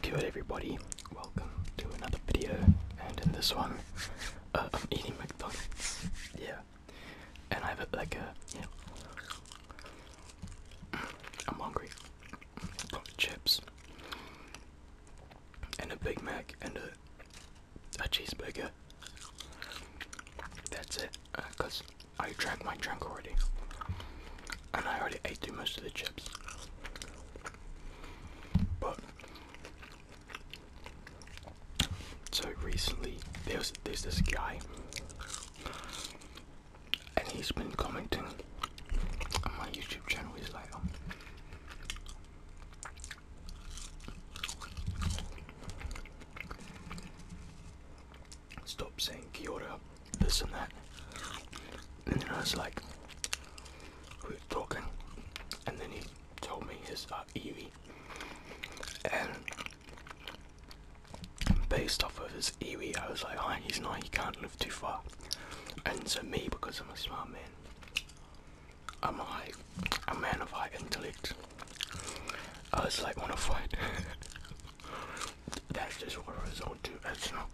Good everybody, welcome to another video, and in this one, uh, I'm eating McDonald's, yeah, and I have like a, yeah, am hungry, chips, and a Big Mac, and a, cheeseburger, that's it, because uh, I drank my drink already. And I already ate through most of the chips. But so recently there's there's this guy and he's been commenting on my YouTube channel is like um, stop saying Kiota, this and that. And then I was like, we were talking, and then he told me his uh, Eevee. And based off of his Eevee, I was like, ah, he's not, he can't live too far. And so me, because I'm a smart man, I'm a, a man of high intellect. I was like, wanna fight? That's just what I was on to. That's not.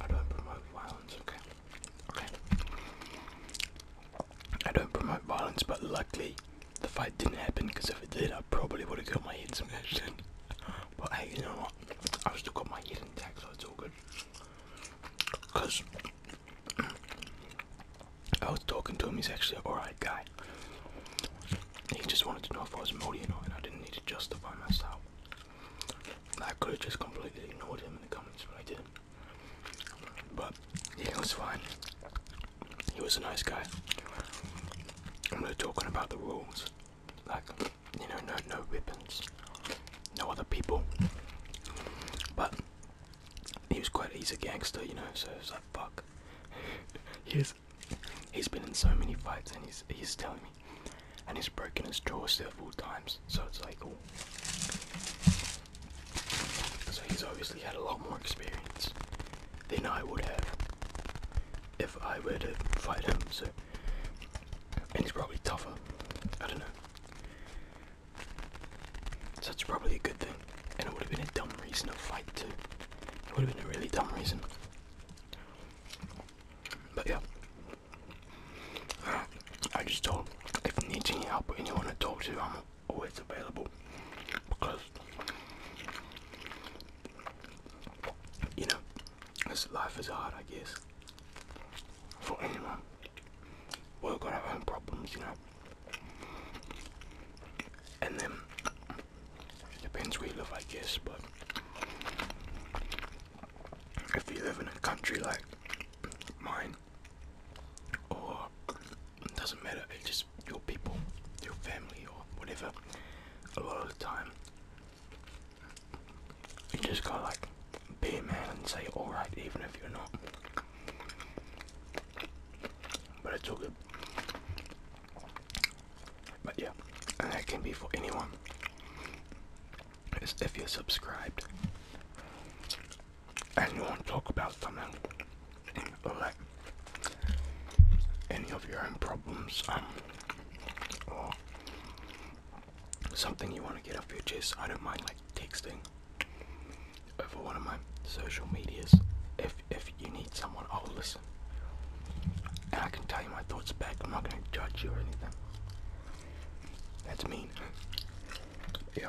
I don't promote violence. Okay. Okay. I don't promote violence, but luckily the fight didn't happen. Because if it did, I probably would have got my head smashed in. But hey, you know what? i still got my head intact, so it's all good. Because I was talking to him. He's actually an alright guy. He just wanted to know if I was moldy or not, and I didn't need to justify myself. I could have just completely ignored him in the comments, but I didn't. But he was fine. He was a nice guy. And we were talking about the rules, like you know, no, no weapons, no other people. But he was quite he's a gangster, you know. So it's like fuck. he was he's been in so many fights and he's he's telling me and he's broken his jaw several times so it's like oh so he's obviously had a lot more experience than I would have if I were to fight him so and he's probably tougher I don't know so that's probably a good thing and it would have been a dumb reason to fight too it would have been a really dumb reason but yeah, I just told if you need any help anyone to talk to, I'm always available because you know, this life is hard, I guess, for anyone. We've got our own problems, you know. And then it depends where you live, I guess, but if you live in a country like mine, or it doesn't matter, it's just your people, your family, or whatever, a lot of the time, you just got like be a man and say alright, even if you're not. But it's all good. But yeah, and that can be for anyone. It's if you're subscribed and you want to talk about something like any of your own problems um, or something you want to get off your chest, I don't mind like texting over one of my social medias. If if you need someone, I'll listen. I can tell you my thoughts back. I'm not gonna judge you or anything. That's mean. Yeah.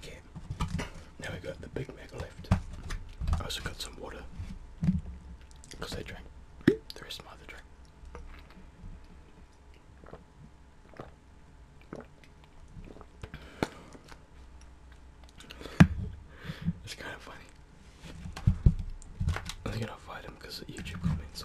Okay, now we got the Big mega left. I also got some water because I drank the my other drink. it's kind of funny. I think I'll fight him because YouTube comments.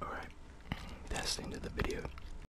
Alright, that's the end of the video.